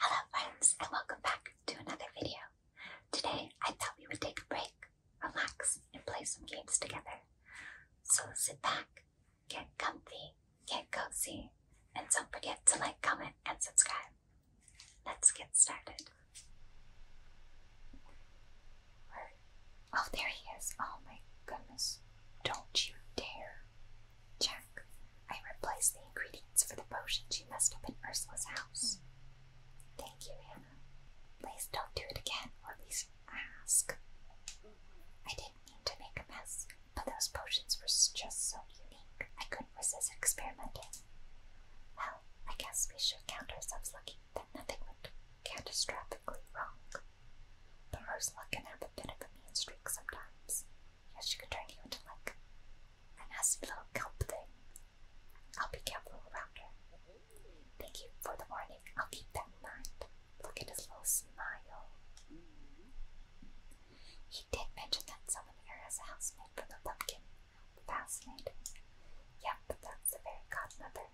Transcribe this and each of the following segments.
Hello friends and welcome back to another video. Today I thought we would take a break, relax, and play some games together. So sit back, get comfy, get cozy, and don't forget to like, comment, and subscribe. Let's get started. Oh, there he is. Oh my goodness. Don't you dare. Jack, I replaced the ingredients for the potions you messed up in Ursula's house. Thank you, Anna. Please don't do it again, or at least ask. I didn't mean to make a mess, but those potions were just so unique, I couldn't resist experimenting. Well, I guess we should count ourselves lucky that nothing went catastrophically wrong. But Ursula can have a bit of a mean streak sometimes. Yes, she could turn you into like a nasty little kelp thing. I'll be careful around her. Thank you for the warning. I'll keep that in mind. Look at his little smile. He did mention that someone here has a housemaid from the pumpkin. Fascinating. Yep, that's the very godmother.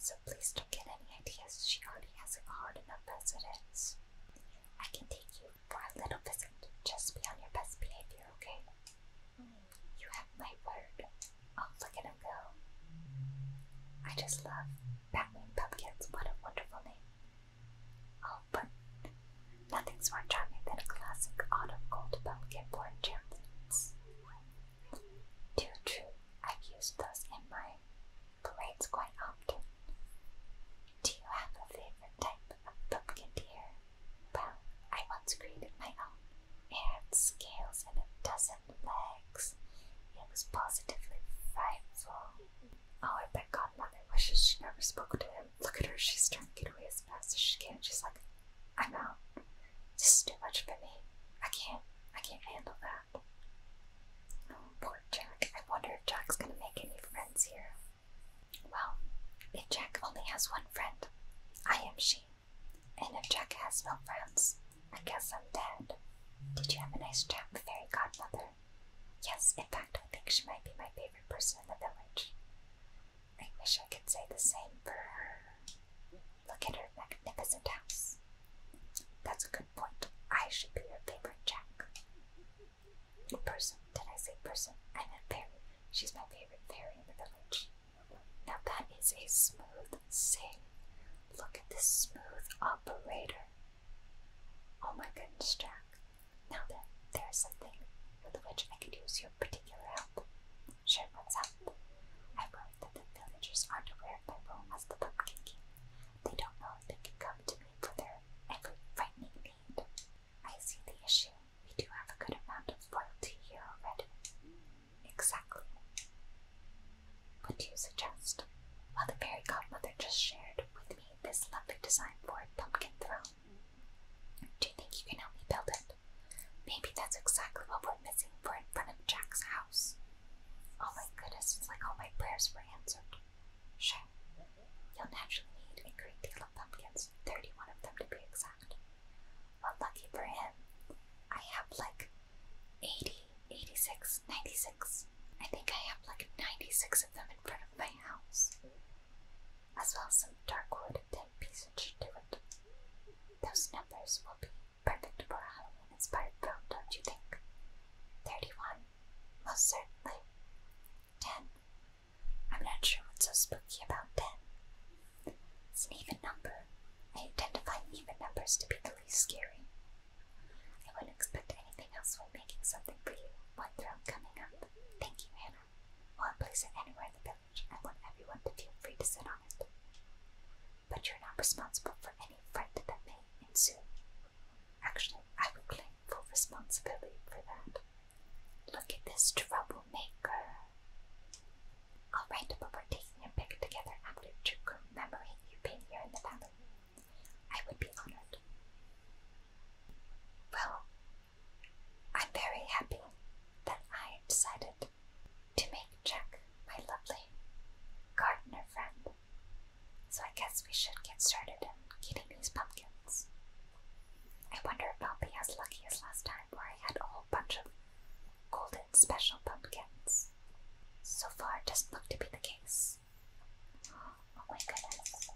So please don't get any ideas. She already has a hard enough as it is. I can take you for a little visit. Just be on your best behavior, okay? You have my word. Oh, look at him I just love Batwing Pumpkins. What a wonderful name. Oh, but nothing's more charming than a classic autumn gold pumpkin born chance. Too true. I've used those in my parades quite often. Do you have a favorite type of bucketeer? Well, I once created my own. It had scales and a dozen legs. It was positively frightful. Oh, I bet Godmother wishes she never spoke to him. Look at her, she's trying to get away as fast as she can. She's like, I'm out. This is too much for me. I can't, I can't handle that poor Jack. I wonder if Jack's gonna make any friends here. Well, if Jack only has one friend, I am she. And if Jack has no friends, I guess I'm dead. Did you have a nice chat with Fairy Godmother? Yes, in fact, I think she might be my favorite person in the village. I wish I could say the same for her. Look at her magnificent house. That's a good I should be your favorite Jack. Person. Did I say person? I meant fairy. She's my favorite fairy in the village. Now that is a smooth sing. Look at this smooth operator. Oh my goodness, Jack. Now then, there is something with which I could use your particular help. Sure, what's up? I worry that the villagers aren't aware of my role as the pumpkin king. They don't know they can come to me for their every frightening need. I see the issue. We do have a good amount of loyalty here already. Exactly. What do you suggest? While the fairy godmother just shared with me this lovely design for a pumpkin throne. Do you think you can help me build it? Maybe that's exactly what we're missing for in front of Jack's house. Oh my goodness, it's like all my prayers were answered. Sure. You'll naturally need a great deal of pumpkins, 31 of them to be exact. Well, lucky for him, I have like 80, I think I have like 96 of them in front of my house. As well as some dark wood and pieces to it. Those numbers will perfect for a inspired film, don't you think? Thirty-one, most certainly. Ten. I'm not sure what's so spooky about ten. It's an even number. I tend to find even numbers to be the least scary. I wouldn't expect anything else when making something for you. One throne coming up. Thank you, Hannah. We'll place it anywhere in the village. I want everyone to feel free to sit on it but you're not responsible for any fight that may ensue. Actually, I will claim full responsibility for that. Look at this troublemaker. All right, but we're taking a pic together after to commemorate you being here in the valley. I would be honored. Well, I'm very happy that I decided to make Jack my lovely gardener friend. So I guess we should get started in getting these pumpkins. I wonder if I'll be as lucky as last time where I had a whole bunch of golden special pumpkins. So far, it doesn't look to be the case. Oh my goodness.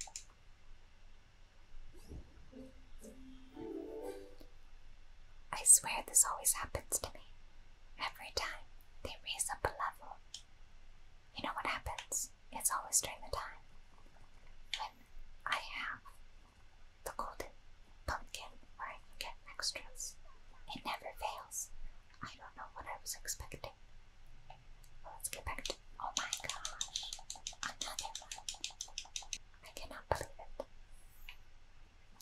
I swear this always happens to me. Every time they raise up a level. You know what happens? It's always during the time when I have the golden pumpkin where I can get extras. It never fails. I don't know what I was expecting. let's get back to. Oh my gosh! Another one. I cannot believe it.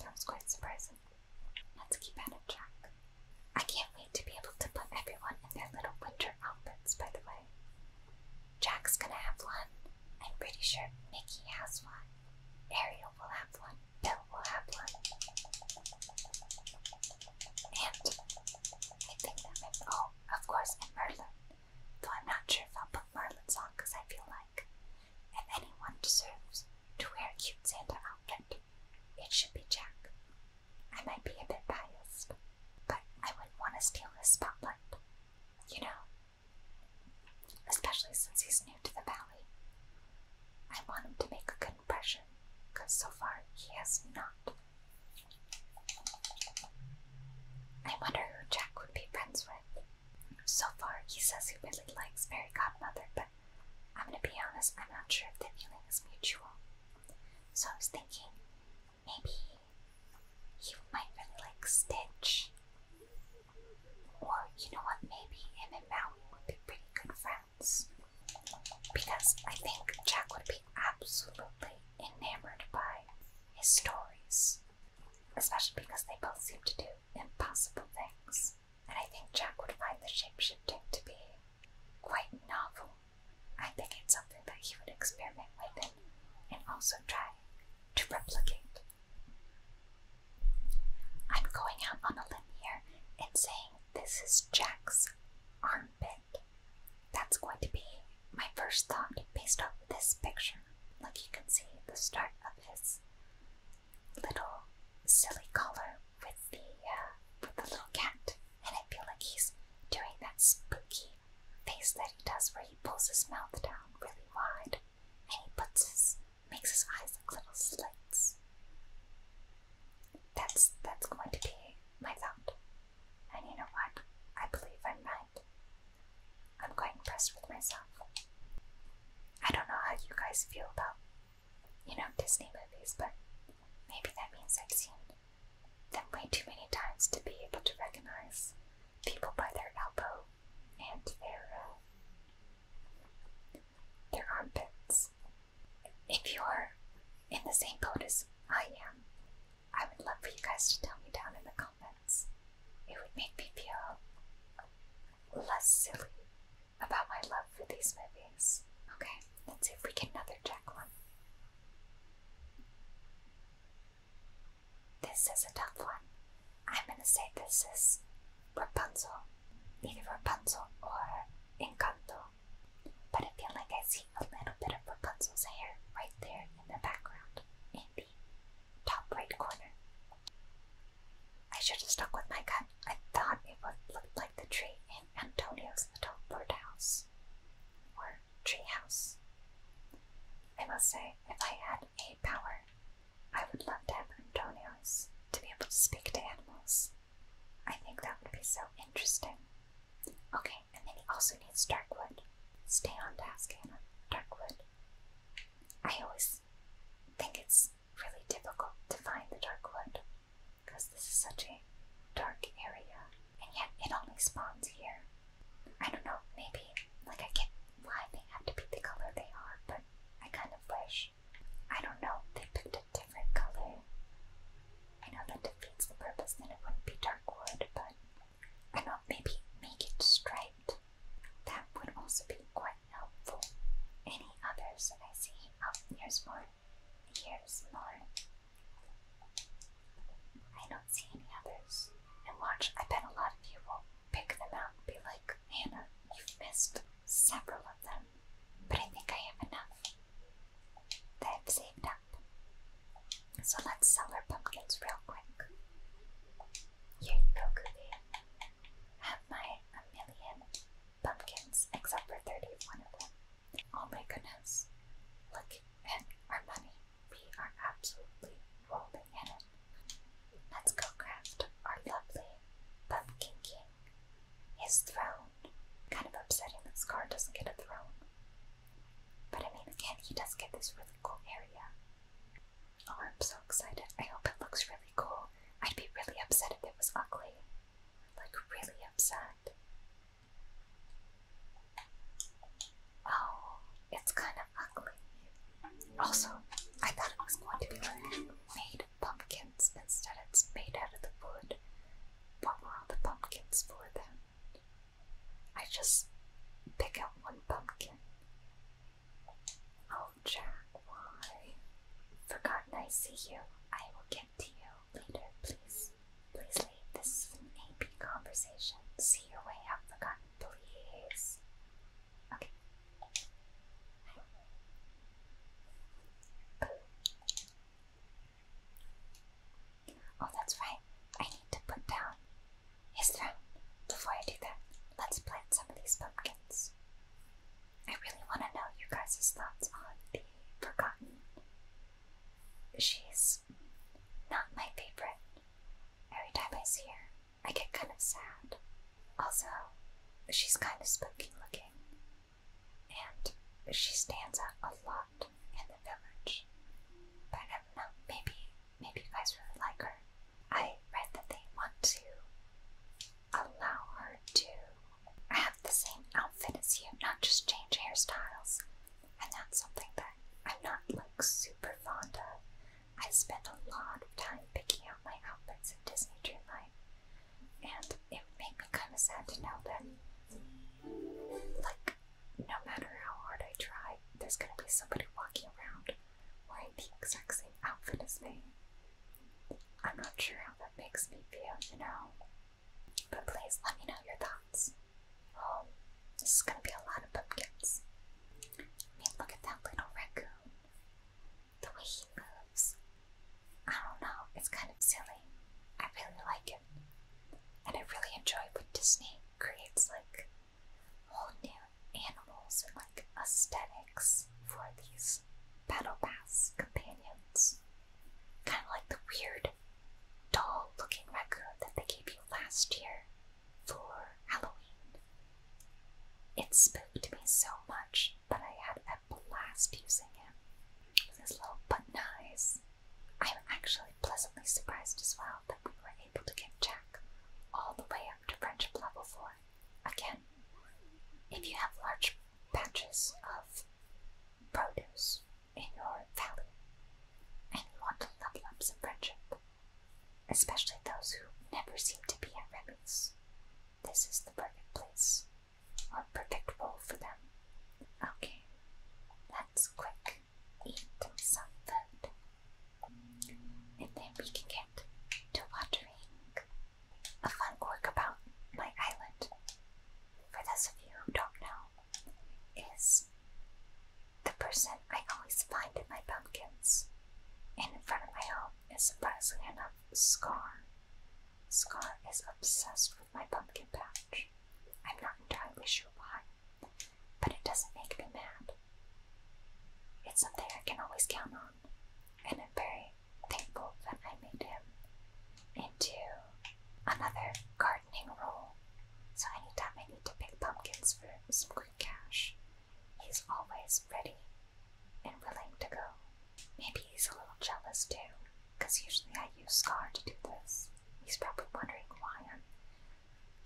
That was quite surprising. Let's keep out of track. I can't wait to be able to put everyone in their little winter outfits, by the way. Jack's gonna have one. I'm pretty sure Mickey has one. Ariel will have one. Bill will have one. And I think that might oh, of course, and Though I'm not sure if I'll put Merlin's on because I feel like if anyone deserves to wear a cute Santa outfit, it should be Jack. I might be a bit biased, but I wouldn't want to steal his spotlight, you know? Especially since he's new to the valley. I want him to make a good impression, because so far he has not. I wonder who Jack would be friends with. So far, he says he really likes Mary Godmother, but I'm gonna be honest, I'm not sure if the feeling is mutual. So I was thinking maybe you might really like Stitch. Or you know what, maybe him and Maui would be pretty good friends. Because I think Jack would be absolutely enamored by his stories. Especially because they both seem to do impossible things and I think Jack would find the shapeshifting to be quite novel. I think it's something that he would experiment with and, also try to replicate. I'm going out on a limb here and saying this is Jack's armpit. That's going to be my first thought based off this picture. Like you can see the start of this little silly collar with the uh, with the little cat, and I feel like he's doing that spooky face that he does, where he pulls his mouth down really wide, and he puts his makes his eyes like little slits. That's that's going to be my thought, and you know what? I believe I'm right. I'm going impressed with myself. I don't know how you guys feel about, you know, Disney movies, but maybe that means I've seen them way too many times to be able to recognize people by their elbow and their uh, their armpits. If you're in the same boat as I am, I would love for you guys to tell me down in the comments. It would make me feel less silly about my love for these movies. Okay, let's see if we can another check one. This is a tough one. I'm gonna say this is Rapunzel. Either Rapunzel or Encanto. But I feel like I see a little bit of Rapunzel's hair right there in the background, in the top right corner. I should have stuck with my gut. I thought it would look like the tree in Antonio's little birdhouse or treehouse. I must say, if I had a power, I would love to have Antonio's to be able to speak to animals. I think that would be so interesting. Okay, and then he also needs dark wood. Stay on task, Hannah. Dark wood. I always I think it's really difficult to find the dark wood because this is such a dark area, and yet it only spawns here. I don't know, maybe, like, I get why they have to be the color they are, but I kind of wish, I don't know, they picked a different color. I know that defeats the purpose, then it wouldn't be dark wood, but I don't know, maybe make it striped that would also be quite helpful. Any others I see? Oh, here's more. Here's more. I don't see any others. And watch, I bet a lot of you will pick them out and be like, Hannah, you've missed several of them. But I think I have enough they have saved up. So let's sell our pumpkins real quick. Yurikoku have my a million pumpkins, except for 31 of them. Oh my goodness. Look at our money. We are absolutely rolling in it. Let's go craft our lovely pumpkin king. His throne. Kind of upsetting This Scar doesn't get a throne. But I mean, again, he does get this really cool area. Oh, I'm so excited. I hope it looks really cool. I'd be really upset if it was ugly. Like, really upset. Oh, it's kind of ugly. Also, I thought it was going to be like made pumpkins. Instead, it's made out of the wood. What were all the pumpkins for then? I just pick out one pumpkin Oh, Jack, why? Forgotten I see you. I will get to you later, please. Please leave. This is an AP conversation. See your way out, Forgotten, please. Okay. Oh, that's right. I need to put down his throne. Before I do that, let's plant some of these pumpkins. I really want to know you guys' thoughts on the Forgotten. She's not my favorite. Every time I see her, I get kind of sad. Also, she's kind of spooky looking, and she stands out a lot in the village. But I don't know, maybe maybe you guys really like her. I read that they want to allow her to have the same outfit as you, not just change hairstyles. And that's something that I'm not like super fond of. I spend a lot of time picking out my outfits at Disney Dreamlight, and it made me kind of sad to know that, like, no matter how hard I try, there's gonna be somebody walking around wearing the exact same outfit as me. I'm not sure how that makes me feel, you know. But please let me know your thoughts. Oh, this is gonna be a lot of pumpkins. I mean, look at that little raccoon. The way he moves. I don't know, it's kind of silly. I really like it. And I really enjoy what Disney creates, like, whole new animals and like aesthetics for these battle pass companions. Kind of like the weird doll looking raccoon that they gave you last year for Halloween. It spooked me so much, but I had a blast using him. With his little button eyes. I'm actually pleasantly surprised as well that we were able to get Jack all the way up to friendship level 4. Again, if you have large patches of produce in your valley and you want to level up some friendship, especially those who never seem to be at Remy's, this is the perfect place or perfect role for them. Okay, let's click eat some food. And then we can get to watering. A fun quirk about my island, for those of you who don't know, is the person I always find in my pumpkins and in front of my home is surprisingly enough Scar. Scar is obsessed with my pumpkin patch. I'm not entirely sure why. But it doesn't make me mad. It's something I can always count on, and I'm very thankful that I made him into another gardening role. So anytime I need to pick pumpkins for some quick cash, he's always ready and willing to go. Maybe he's a little jealous too, because usually I use Scar to do this. He's probably wondering why I'm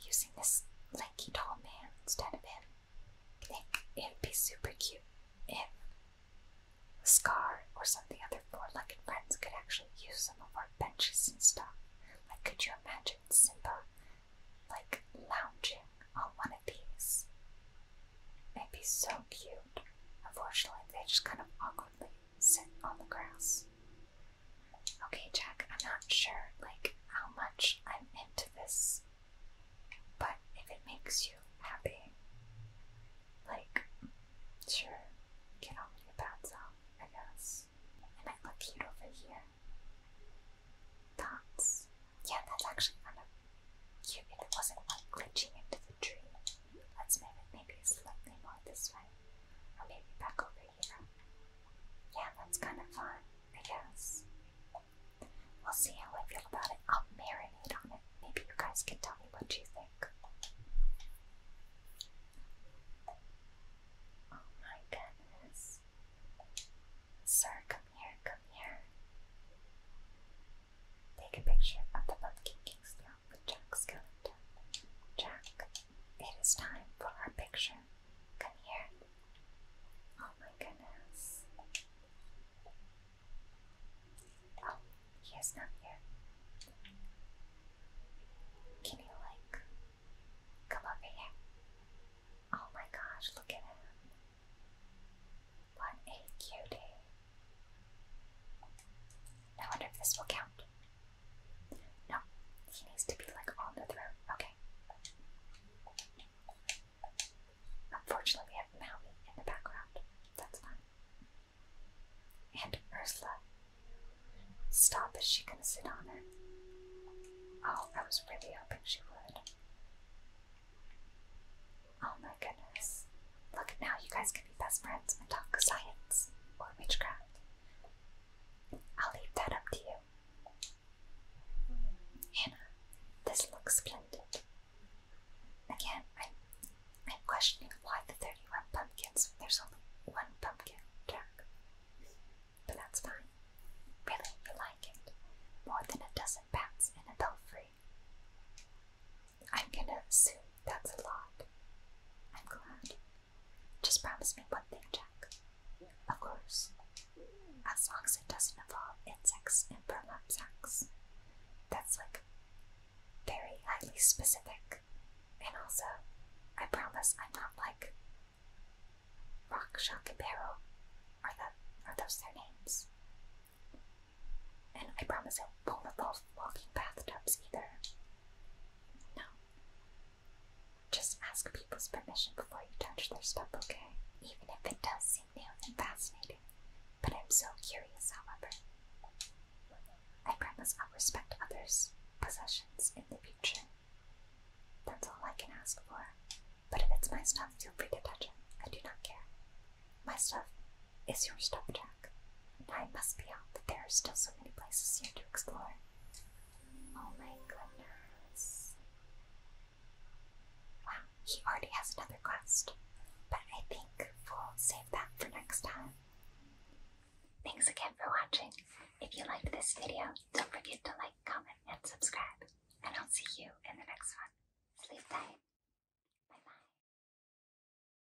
using this lanky tall man instead of him. I it'd be super cute And Scar or some of the other four-legged friends could actually use some of our benches and stuff. Like, could you imagine Simba, like, lounging on one of these? It'd be so cute. Unfortunately, they just kind of awkwardly sit on the grass. Okay, Jack, I'm not sure like how much I'm into this, but if it makes you happy, like sure, get on your bad self, I guess. and I might look cute over here. Thoughts? Yeah, that's actually kind of cute if it wasn't like glitching into the tree. Let's move it maybe slightly more this way. Or maybe back over yeah, that's kind of fun, I guess. We'll see how I feel about it. I'll marinate on it. Maybe you guys can tell me what you think. Oh my goodness. Sir, come here, come here. Take a picture of the Pumpkin King's throne with Jack Skellington. Jack, it is time for our picture. Come here. Oh my goodness. Oh, he is not here. Can you, like, come over here? Oh my gosh, look at him. What a cutie. I wonder if this will count. No, he needs to be like on the throne. Okay. Unfortunately, we have Maui in the background. That's fine. And Ursula. Stop, is she gonna sit on her? Oh, I was really hoping she would. Oh my goodness. Look, now you guys can be best friends and talk science or witchcraft. I'll leave that up to you. Hannah, this looks splendid. Again, I'm, I'm questioning why the 31 pumpkins there's only one pumpkin jack. But that's fine. Really, you like it. More than a dozen bats in a belfry. I'm gonna assume that's a lot. I'm glad. Just promise me one thing, Jack. Of course. As long as it doesn't involve insects and burlap That's like very highly specific. And also, I promise I'm not like Rock, Shock, and Barrel. Are, that, are those their names? And I promise it won't involve walking bathtubs either. No. Just ask people's permission before you touch their stuff, okay? Even if it does seem new and fascinating. But I'm so curious, however. I promise I'll respect others' possessions in the future. That's all I can ask for. But if it's my stuff, feel free to touch it. I do not care. My stuff is your stop track. I must be out, but there are still so many places here to explore. Oh my goodness. Wow, he already has another quest. But I think we'll save that for next time. Thanks again for watching. If you liked this video, don't forget to like, comment, and subscribe. And I'll see you in the next one. Sleep tight. Bye bye.